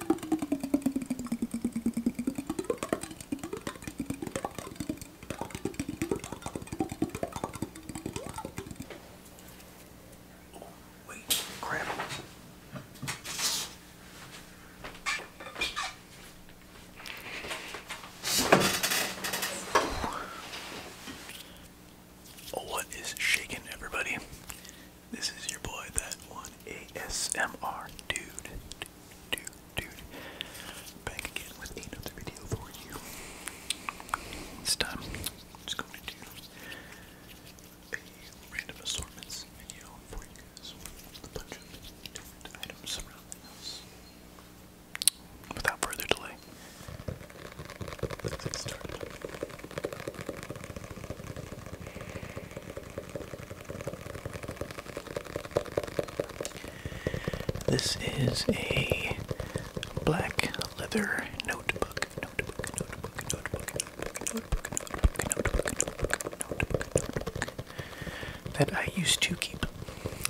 Wait, crap. What is shaking, everybody? This is your boy, that one ASMR dude. Dude, dude, Back again with another video for you. This time, I'm just going to do a random assortments video for a bunch of items around the house. Without further delay, let's get started. This is a black leather notebook. That I used to keep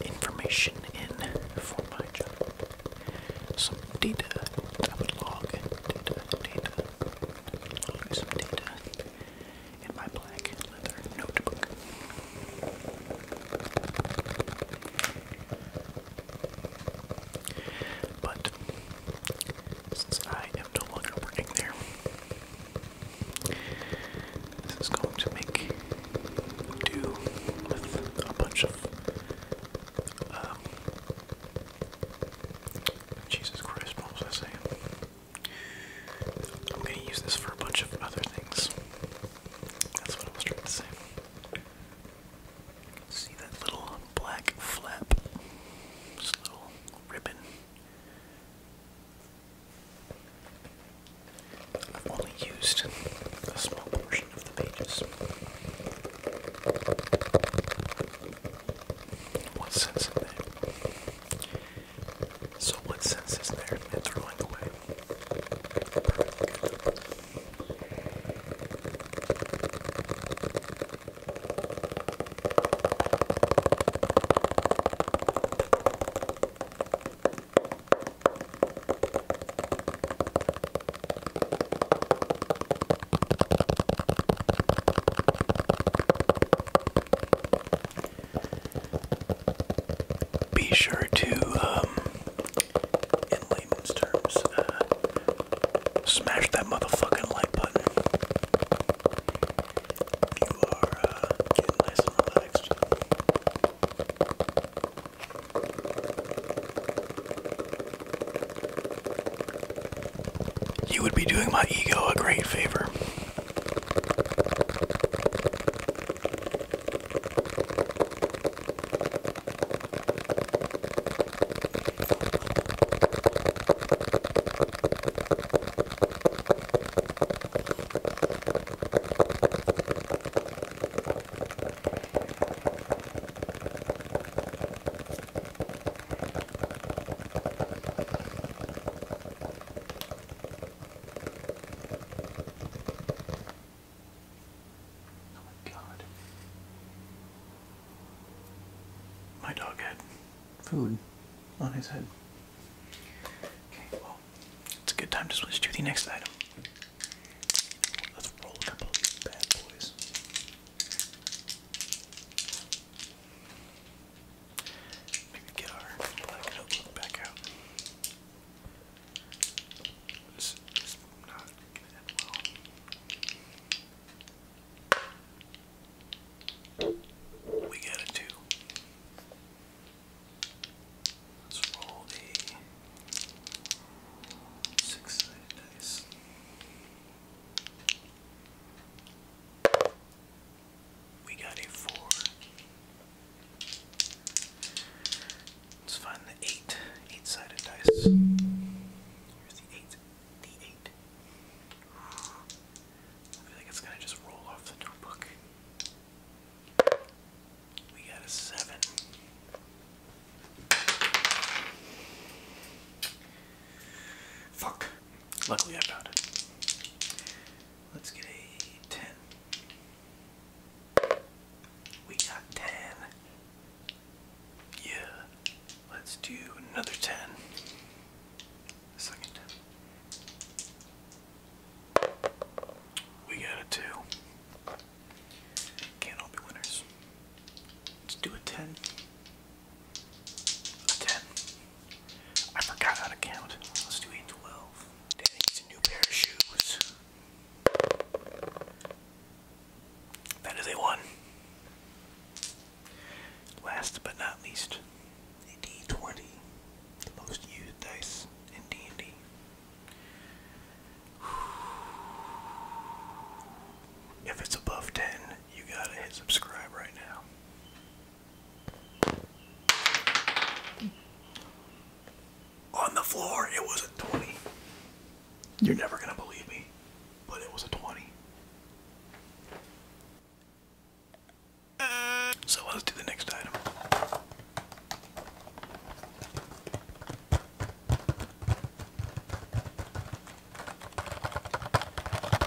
information in for my job. Some data log. Data, data. Log some data in my black leather notebook. But since I am no longer working there, this is going to make do with a bunch of um, Jesus Christ, what was I saying? I'm gonna use this for a bunch of other things. That's what I was trying to say. See that little black flap? This little ribbon. I've only used a small portion of the pages. What sense is there? So what sense is there in throwing away? Perfect. Be sure to, um, in layman's terms, uh, smash that motherfucking like button. You would be doing my ego a great favor. Oh my god. My dog had food on his head. Okay, well, it's a good time to switch to the next item. Let's roll a couple of these bad boys. Maybe get our black notebook back out. We got a two. Let's roll a six sided dice. We got a four. Let's find the eight. Eight sided dice. Here's the eight. The eight. I feel like it's gonna just roll off the notebook. We got a seven. Fuck. Luckily I found it. Let's get a 10. We got 10. Yeah. Let's do another 10. second We got a 2. Can't all be winners. Let's do a 10. A 10. I forgot how to count. Let's do a 12. Danny a new pair of shoes. That is a 1. Last but not least, a d20. The most used dice in D&D. If it's above 10, you gotta hit subscribe right now. On the floor, it was a 20. You're never gonna believe me, but it was a 20. So let's do the next item.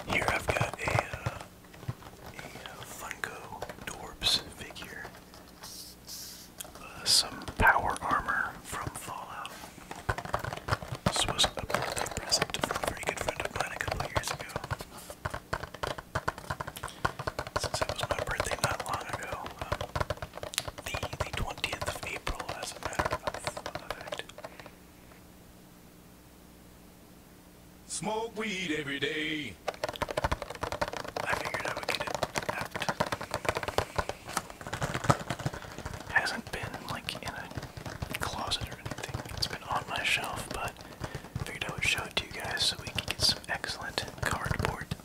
Here I've got a, uh, uh, Funko Dorbs figure. Uh, some power armor from Fallout. This was a birthday present from a very good friend of mine a couple years ago. Since was my birthday not long ago, um, the twentieth of April, as a matter of fact. Smoke weed every day. I figured I would get it out. Hasn't been like in a closet or anything. It's been on my shelf, but figured I would show it to you guys so we could get some excellent cardboard.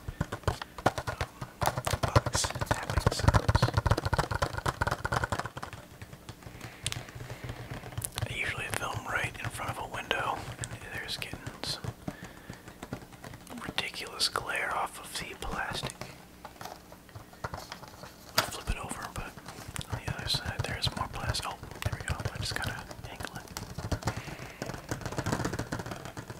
Um, I usually film right in front of a window, and there's getting some ridiculous glare off of the plastic. flip it over, but on the other side there is more plastic. Oh, there we go. I just gotta angle it.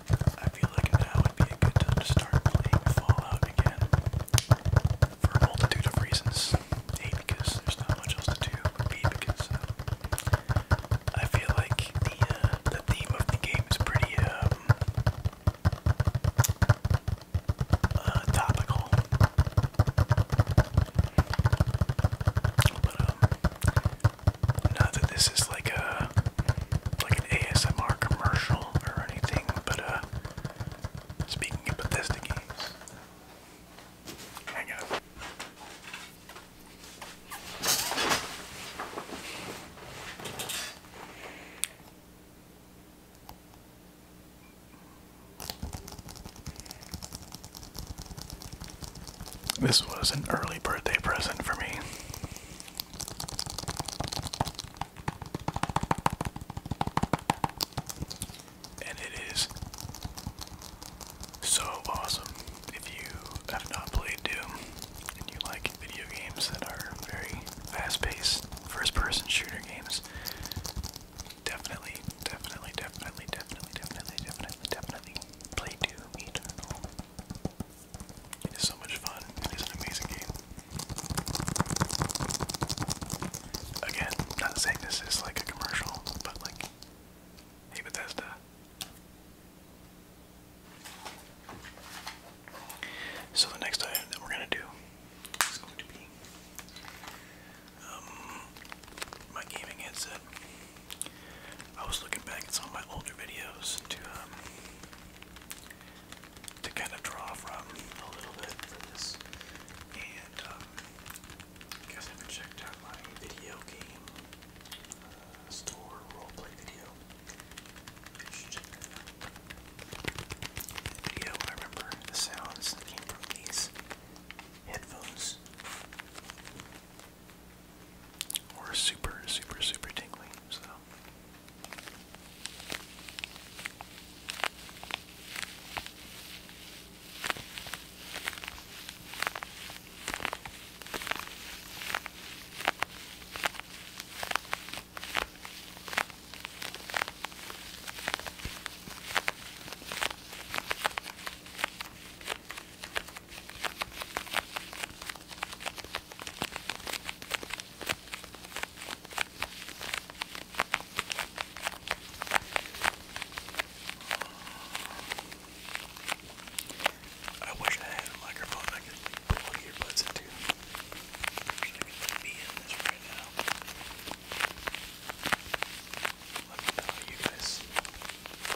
I feel like now would be a good time to start playing Fallout again. For a multitude of reasons. A, because there's not much else to do. B, because uh, I feel like the uh, the theme of the game is pretty um, uh, topical. But um, not that this is like a like an ASMR commercial or anything, but uh, speaking of Bethesda games, hang on. This was an early birthday present for me. And it is so awesome. If you have not played Doom and you like video games that are very fast paced, first person shooter games, definitely, definitely, definitely, definitely, definitely, definitely, definitely play Doom Eternal. It is so much fun. It is an amazing game. Again, not saying this is like a commercial, but like, hey Bethesda. So the next item that we're gonna do is going to be um, my gaming headset. I was looking back at some of my older videos to um, to kind of draw from a little bit for this, and um, I haven't checked out my video game uh, store roleplay video. video, I remember the sounds that came headphones. Or super, super, super tingly, so. I wish I had a microphone I could plug earbuds into. I wish be in this right now. Let me know you guys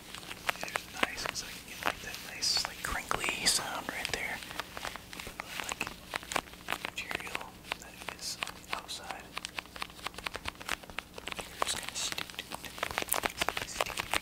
There's nice because I can get like that nice like crinkly sound right there. But like material that is on the outside. You're just gonna stick to it. Stick, stick, stick.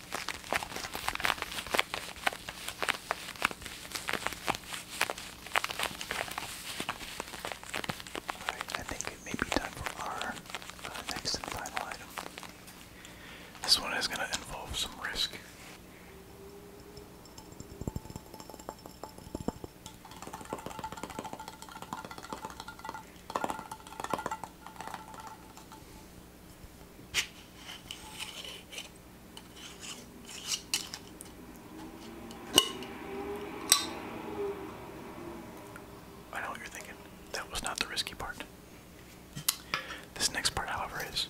I think it time for our uh, next and final item. This one is going to involve some risk. I know what you're thinking. That was not the risky part. This next part, however, is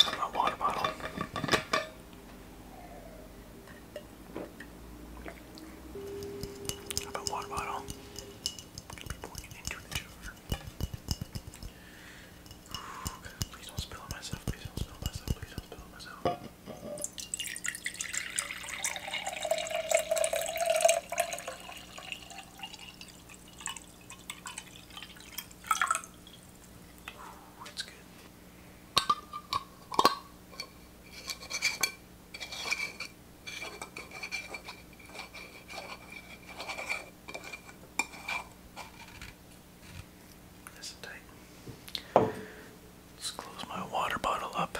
a water bottle. How water bottle? water. Please don't spill myself, please don't spill myself, please don't spill myself. Ooh, it's good. This tight. Let's close my water bottle up.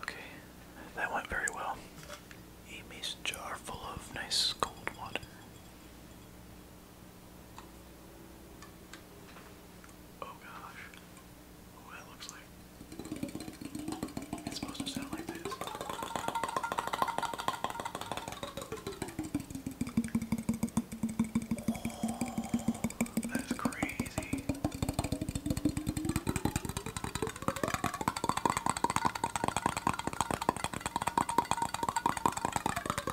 Okay, that went very well. A jar full of nice cold water. Oh gosh. Oh, looks like it's supposed to sound like this. that's crazy.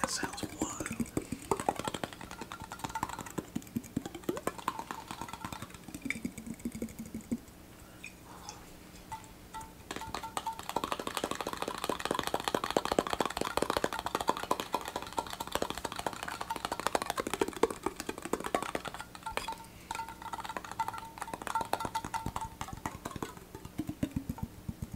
That sounds wild.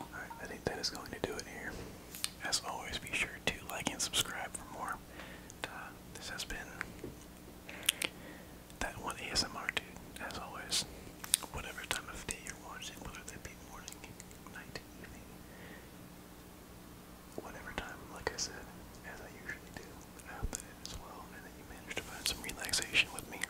Alright, I think that is going to do it here. As always, be sure to like and subscribe for more. Uh, this has been that one ASMR dude, as always. Whatever time of day you're watching, whether that be morning, night, evening, whatever time, like I said, as I usually do. I hope that it is well and that you managed to find some relaxation with me.